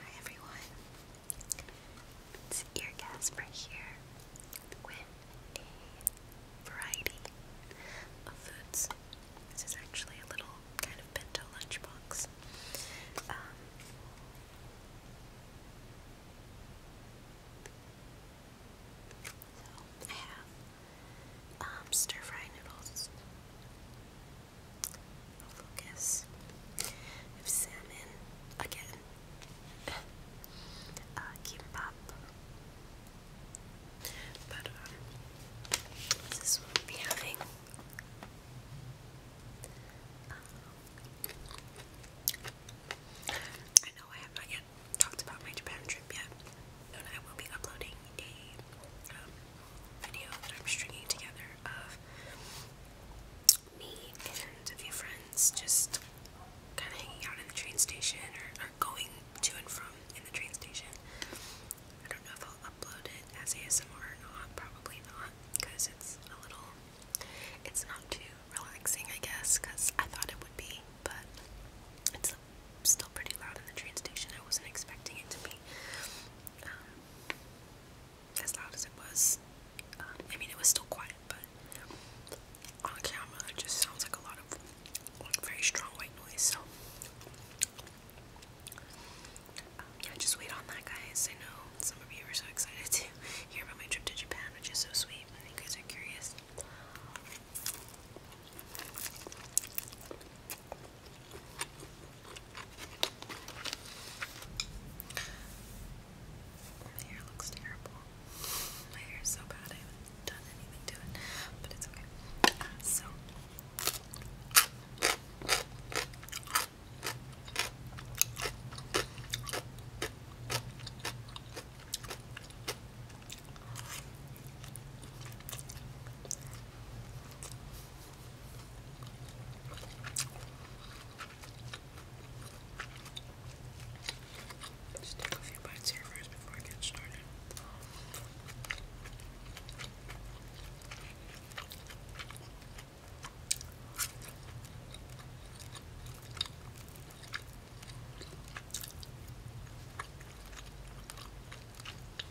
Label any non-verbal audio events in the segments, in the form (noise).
Hi everyone, it's Eargasper here with a variety of foods. This is actually a little kind of bento lunchbox. Um, so I have um, stir fry noodles, focus salmon again, uh, kimbap. But um, this will be having. Um, I know I have not yet talked about my Japan trip yet, and I will be uploading a um, video that I'm stringing together of me and a few friends just kind of hanging out in the train station or, going to and from in the train station. I don't know if I'll upload it as ASMR or not, probably not, because it's a little, it's not too relaxing, I guess, because I thought it would be, but it's still pretty loud in the train station. I wasn't expecting it to be. Um, as loud as it was. Um, I mean, it was still quiet, but on camera it just sounds like a lot of very strong white noise. So um, yeah, just wait on that, guys. I know some of you are so excited (laughs) to hear about my trip to Japan, which is so sweet. I think you guys are curious. My hair looks terrible. My hair is so bad I haven't done anything to it, but it's okay. Uh, so just take a few bites here first before I get started.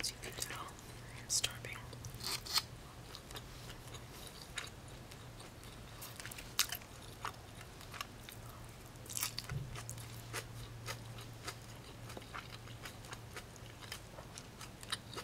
As you can tell, I am starving.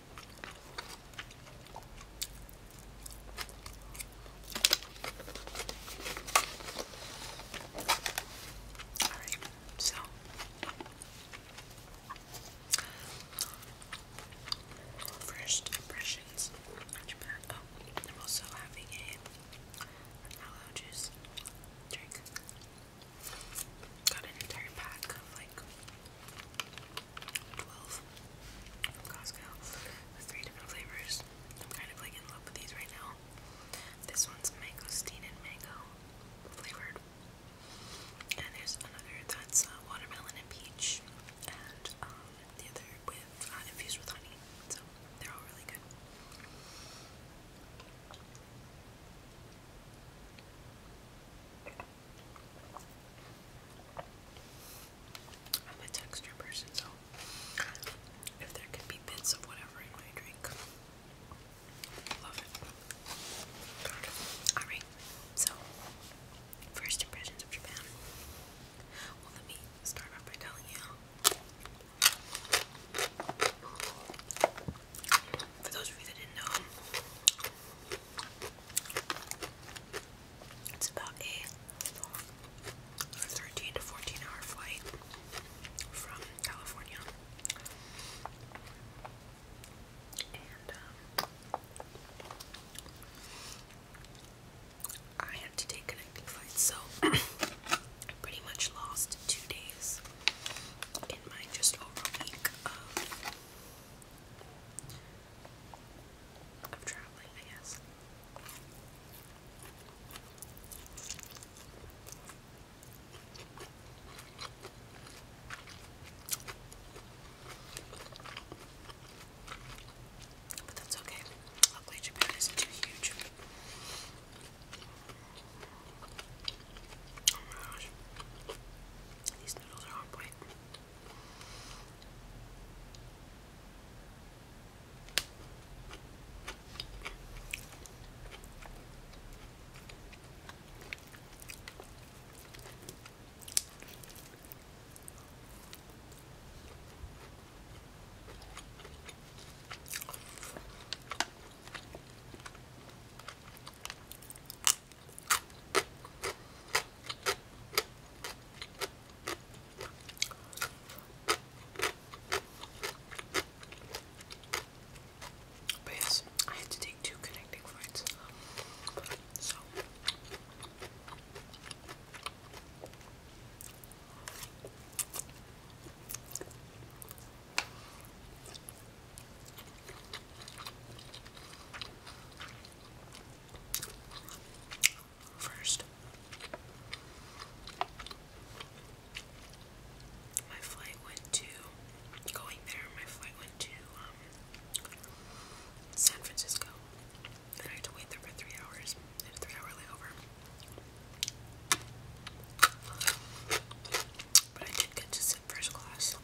Alright, so first impressions. I'm oh, also having a aloe drink. Got an entire pack of like 12 from Costco with three different flavors. I'm kind of like in love with these right now. This one's mango, mangosteen and mango flavored. And there's another that's uh, watermelon and peach. And um, the other with uh, infused with honey. So they're all really good. I'm a texture person, so if there could be bits of whatever in my drink, love it. Alright, so first impressions of Japan. Well, let me start off by telling you. For those of you that didn't know, it's about a 13 to 14 hour flight from California. And um, I had to take connecting flights, so I (clears throat) pretty much lost two days in my just over week of of traveling, I guess. But that's okay. Luckily, Japan isn't too huge. Oh my gosh. These noodles are on point. But yes, I had to take two connecting flights. First, my flight went to going there. My flight went to um, San Francisco, and I had to wait there for three hours. three-hour layover. But I did get to sit first class on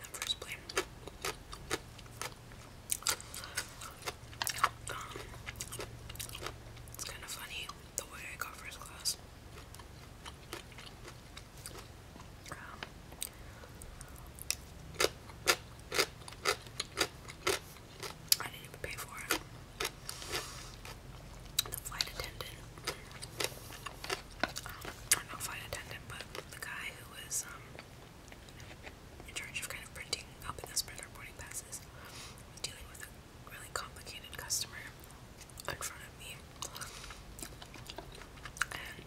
that first plane. Um, it's kind of funny the way I got first class. Um, I didn't even pay for it. The flight attendant i flight attendant, but the guy who was um, in charge of kind of printing up and the our boarding passes, dealing with a really complicated customer in front of me, and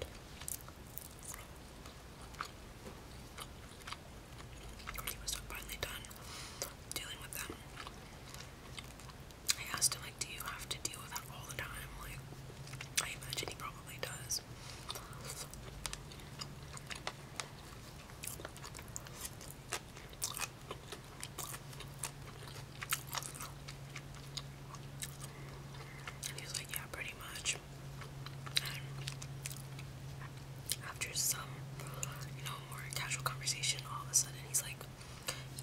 he was finally done dealing with them. I asked him, like, do you have to deal with that all the time? Like, I imagine he probably does. And he like, yeah, pretty much. And after some, you know, more casual conversation, all of a sudden he's like,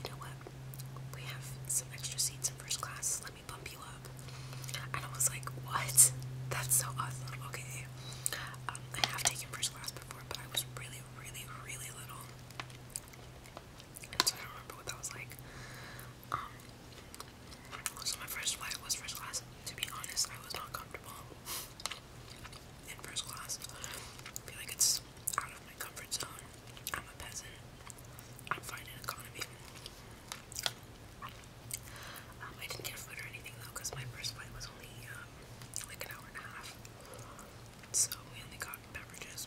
you know what? We have some extra seats in first class. Let me bump you up. And I was like, what? That's so awesome. Okay. Um, I have taken first class before, but I was really, really, really little. And so I don't remember what that was like. Um, my first flight was first class. To be honest, I was not comfortable in first class. I feel like it's out of my comfort zone. I'm a peasant. I'm fine economy. Um, I didn't get food or anything though because my first flight was only um, like an hour and a half. So we only got beverages.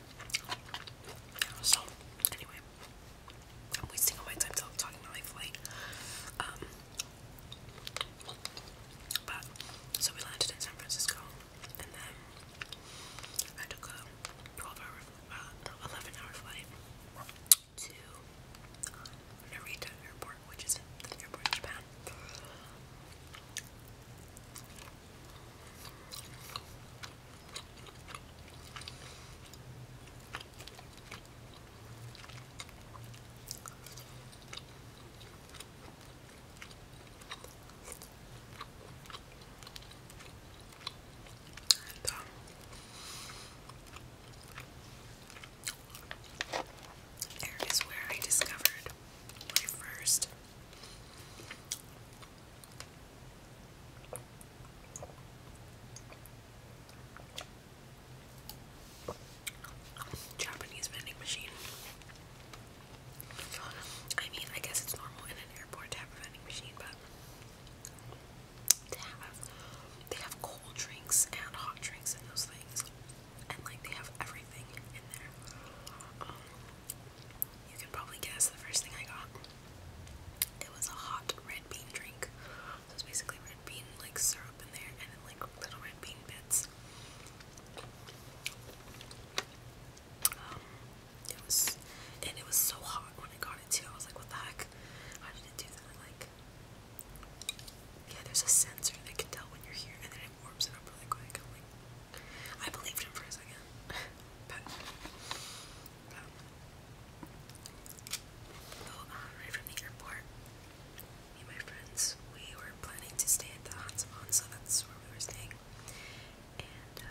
So, anyway, I'm wasting all time talking my life away. Um, so we landed in San Francisco, and then I took a 12 hour, uh, no, 11 hour flight to Narita Airport, which is the airport in Japan. And, um, there is where I discovered my first Japanese vending machine. I mean, I guess it's normal in an airport to have a vending machine, but to have they have cold drinks and hot drinks and those things, and like they have everything in there. Um, you can probably guess the first thing I got. It was a hot red bean drink. So it's basically red bean like syrup in there and like little red bean bits. Um, it was, and it was so hot when I got it too. I was like, what the heck? How did it do that? Like, yeah, there's a sensor that can tell when you're here, and then it warms it up really quick. I'm like, I believed him for a second. but, uh, we were planning to stay at the Hansamon, so that's where we were staying. Um,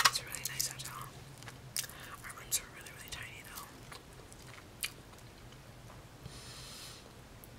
it's a really nice hotel. Our rooms are really, really tiny though.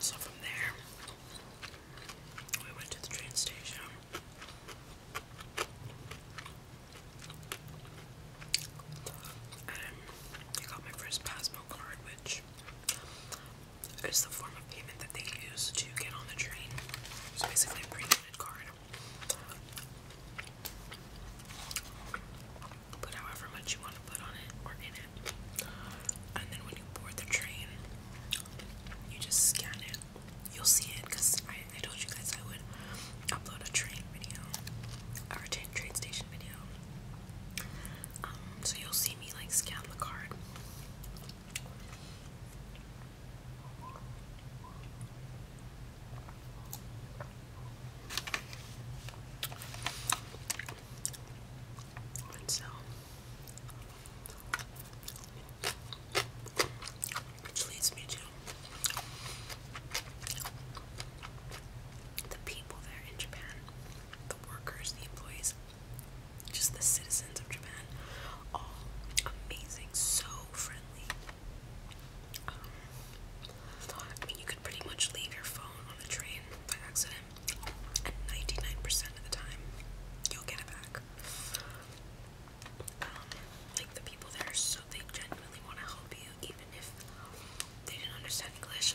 So from there, we went to the train station. Um, I got my first Pasmo card, which it's the form of payment that they use to get on the train. It's basically a prepaid card. Put however much you want to put on it or in it. And then when you board the train, you just scan it. You'll see it because I, I told you guys I would upload a train video or a train station video. Um, so you'll see me like scan the card. so which leads me to the people there in Japan the workers, the employees, just the citizens of Japan, all amazing, so friendly. Um, I mean, you could pretty much leave your phone on the train by accident, and 99% of the time, you'll get it back. Um, like the people there, so they genuinely want to help you, even if they didn't understand English.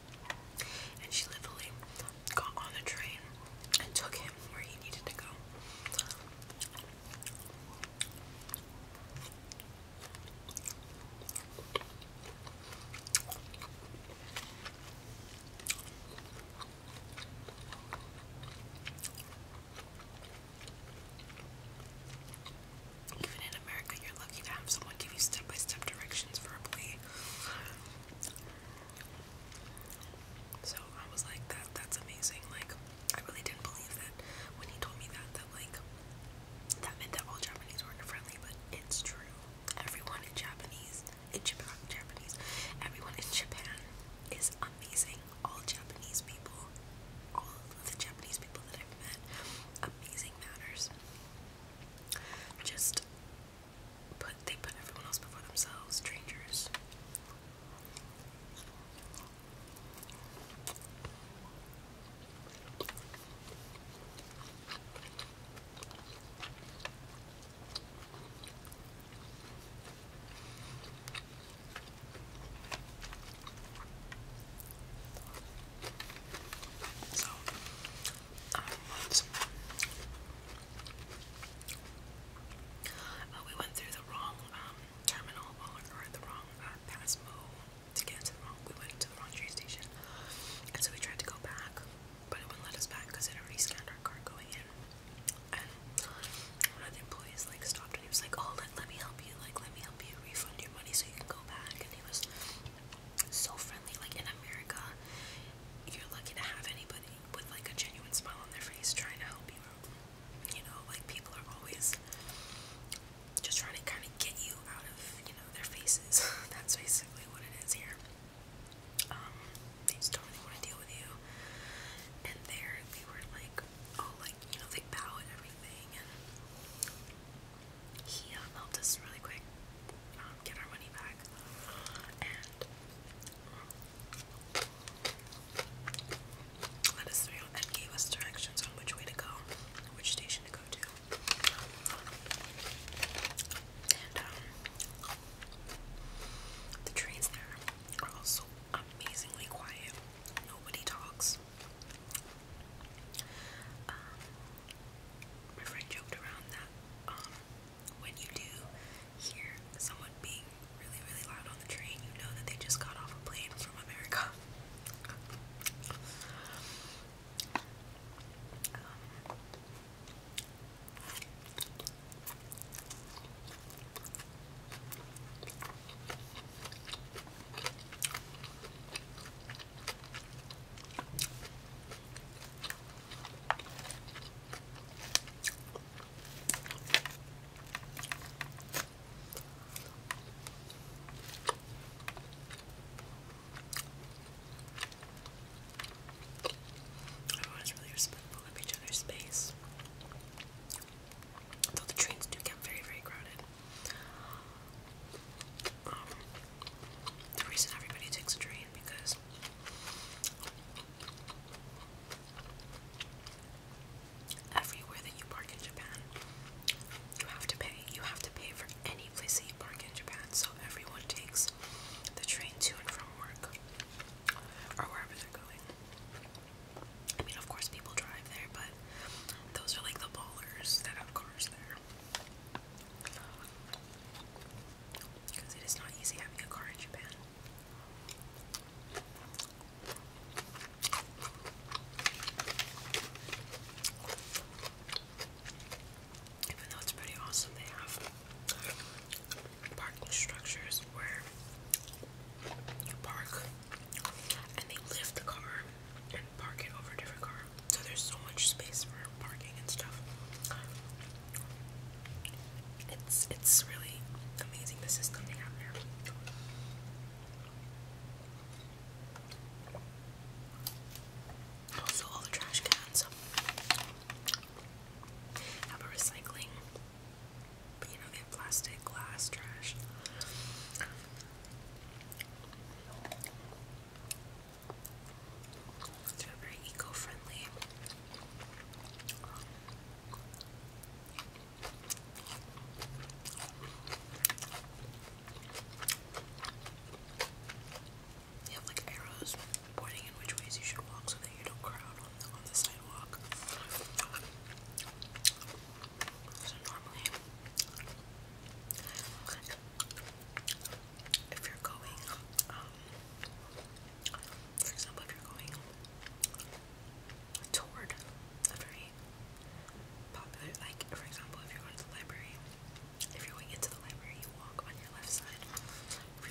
And she literally got on the train and took him where he needed to go. Even in America, you're lucky to have someone give you step by step directions for so I was like, that that's amazing. Like, I really didn't believe that when he told me that, that like that meant that all Japanese weren't friendly, but it's true. Everyone in Japanese in Japan Japanese everyone in Japan is amazing. All Japanese people, all of the Japanese people that I've met, amazing manners. Just put they put everyone else before themselves, strangers. So Oh, we went through the wrong um, terminal or the wrong uh, to get to the wrong. We went to the wrong train station, and so we tried to go back, but it wouldn't let us back because it already scanned our card going in. And one of the employees like stopped and he was like, "Oh, let, let me help you. Like, let me help you refund your money so you can go back." And he was so friendly. Like in America, you're lucky to have anybody with like a genuine smile on their face trying to help you out. You know, like people are always just trying to kind of get you out of, you know, their faces. (laughs) That's basically what it is here. Um, they don't really want to deal with you. And there, they were like, oh, like, you know, they bow at everything he uh, helped us really quick um, get our money back. And um, let us through and gave us directions on which way to go, which station to go to. And um, the trains there are also amazingly quiet. Nobody talks. Um, my friend joked around that um, when you do hear someone being really, really loud on the train, you know that they just got off a plane from America. (laughs) Um, Everyone's really respectful of each other's space. Though the trains do get very, very crowded the reason everybody takes a train because everywhere that you park in Japan, you have to pay. You have to pay for any place you park in Japan. So everyone takes the train to and from work or wherever they're going. I mean, of course, people drive there, but those are like the ballers that have cars there. Because it is not easy having a car in Japan. Even though it's pretty awesome, they have parking structures where you park and they lift the car and park it over a different car. So there's so much space for parking and stuff. It's it's really amazing the system they have there. Also, all the trash cans have a recycling, but you know, they have plastic, glass, trash. They're very eco-friendly. They have like arrows pointing in which ways you should walk so that you don't crowd on the sidewalk. So normally if you're going, um, for example, if you're going toward a very popular, like, for example, if you're going to the library, if you're going into the library, you walk on your left side.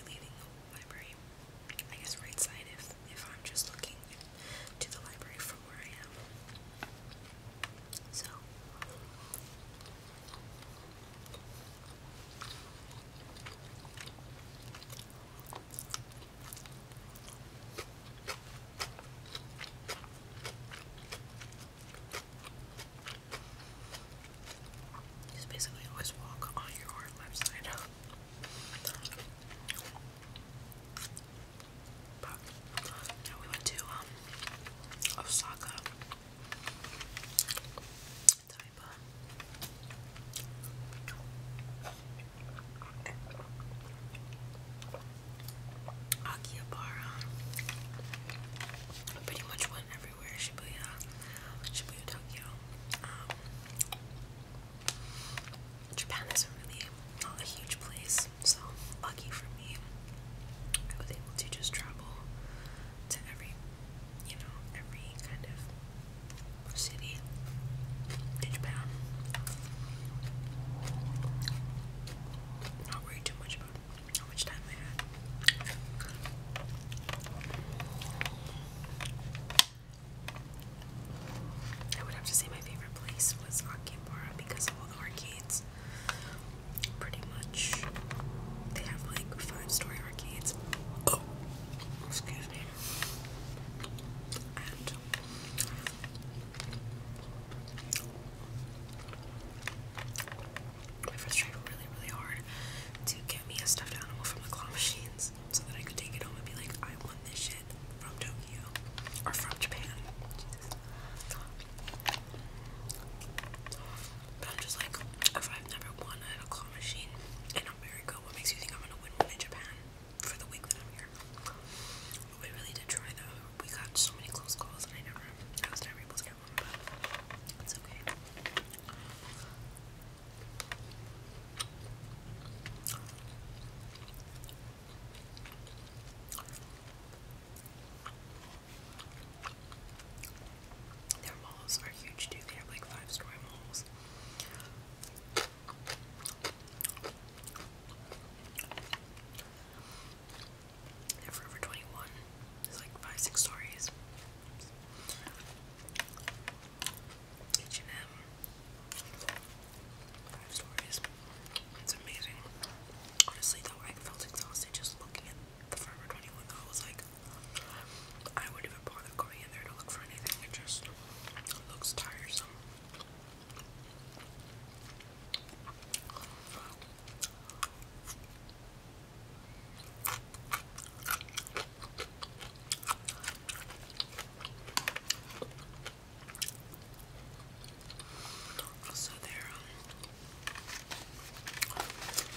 leaving the library, I guess right side if, if I'm just looking to the library from where I am. So just basically always walk on your left side. (laughs) we went to um, Osaka. Akihabara. I pretty much went everywhere. Shibuya, Shibuya, Tokyo. Um, Japan isn't really not a huge place, so lucky for me, I was able to just travel to every, you know, every kind of city in Japan. Not worry too much about how much time I had. I would have to say my favorite place was Akihabara because of all the arcades pretty much. They have like five story arcades. Oh, excuse me. And my friends tried really, really hard to get me a stuffed animal from the claw machines so that I could take it home and be like, I won this shit from Tokyo or from Japan. But I'm just like, if I've never won at a claw machine in America, what makes you think I'm gonna win one in Japan for the week that I'm here? we really did try though. We got so many close calls and I never, I was never able to get one, but it's okay. Their malls are huge too, they have like five story malls. Forever 21, there's like five, six stories. H&M, five stories. It's amazing. Honestly, though, I felt exhausted just looking at the Forever 21. I was like, I wouldn't even bother going in there to look for anything. It just looks tiresome. So they're um,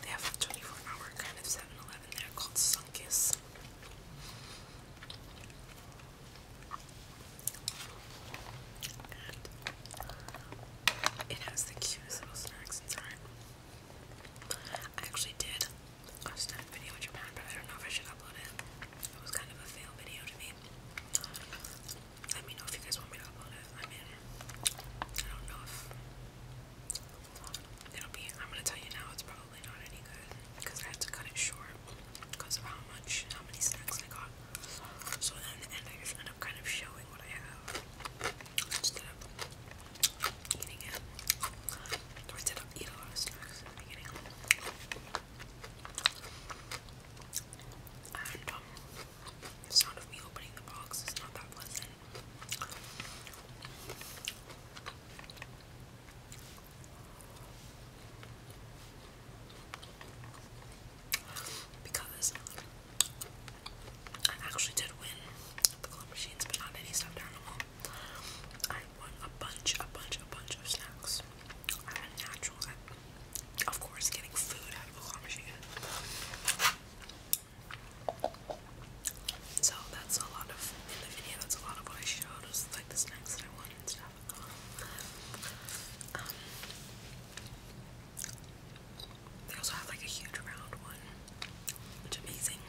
they have a 24 hour kind of 7 there called Sunkiss. it has the cutest little snacks inside. I actually did a snack video in I don't know if I should upload it. It was kind of a fail video to me. Let me know if you guys want me to upload it. I mean, I don't know if it'll be. I'm gonna tell you now, it's probably not any good because I had to cut it short because of how much, how many snacks I got. So in the end, I just end up kind of showing what I have instead of eating it. So I did eat a lot of snacks and um, not that pleasant. Because I actually did win the club machines, but not any stuffed animal. I won a bunch, a bunch, a bunch of snacks. natural, of course, getting food out of a claw machine. So that's a lot of That's a lot of what I showed. Was like the snacks that I wanted and stuff. Um, they also have like a huge round one, which is amazing.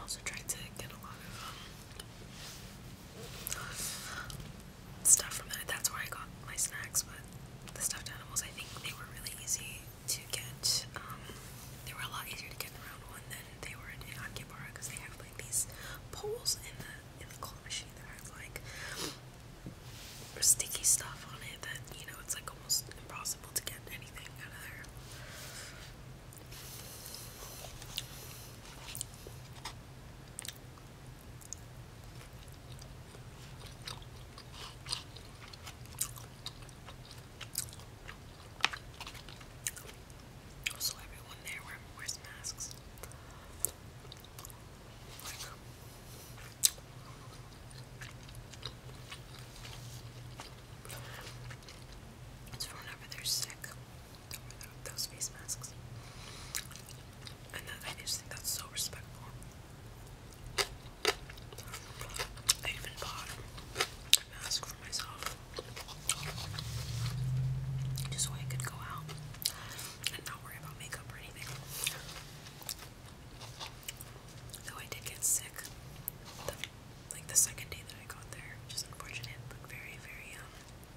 Also tried to get a lot of um, stuff from that. That's where I got my snacks, but the stuffed animals, I think they were really easy to get. Um, they were a lot easier to get in round one than they were in Akihabara because they have like these poles in the in the claw machine that has like sticky stuff on it that you know it's like almost impossible to get anything out of there. Also, everyone there wears masks. Like, whenever they're sick those face masks. And I just think that's so respectful. I even bought a mask for myself just so I could go out and not worry about makeup or anything. Though I did get sick, like the second day that I got there, which unfortunate, but very, very um,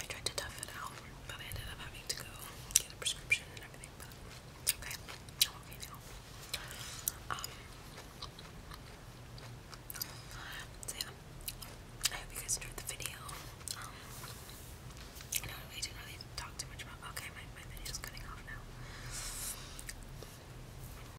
I tried to tough it out, but I ended up having to go get a prescription and everything, but it's okay. okay now. Um, so yeah, I hope you guys enjoyed the video. Um, I didn't talk too much about, okay, my, my video's cutting off now.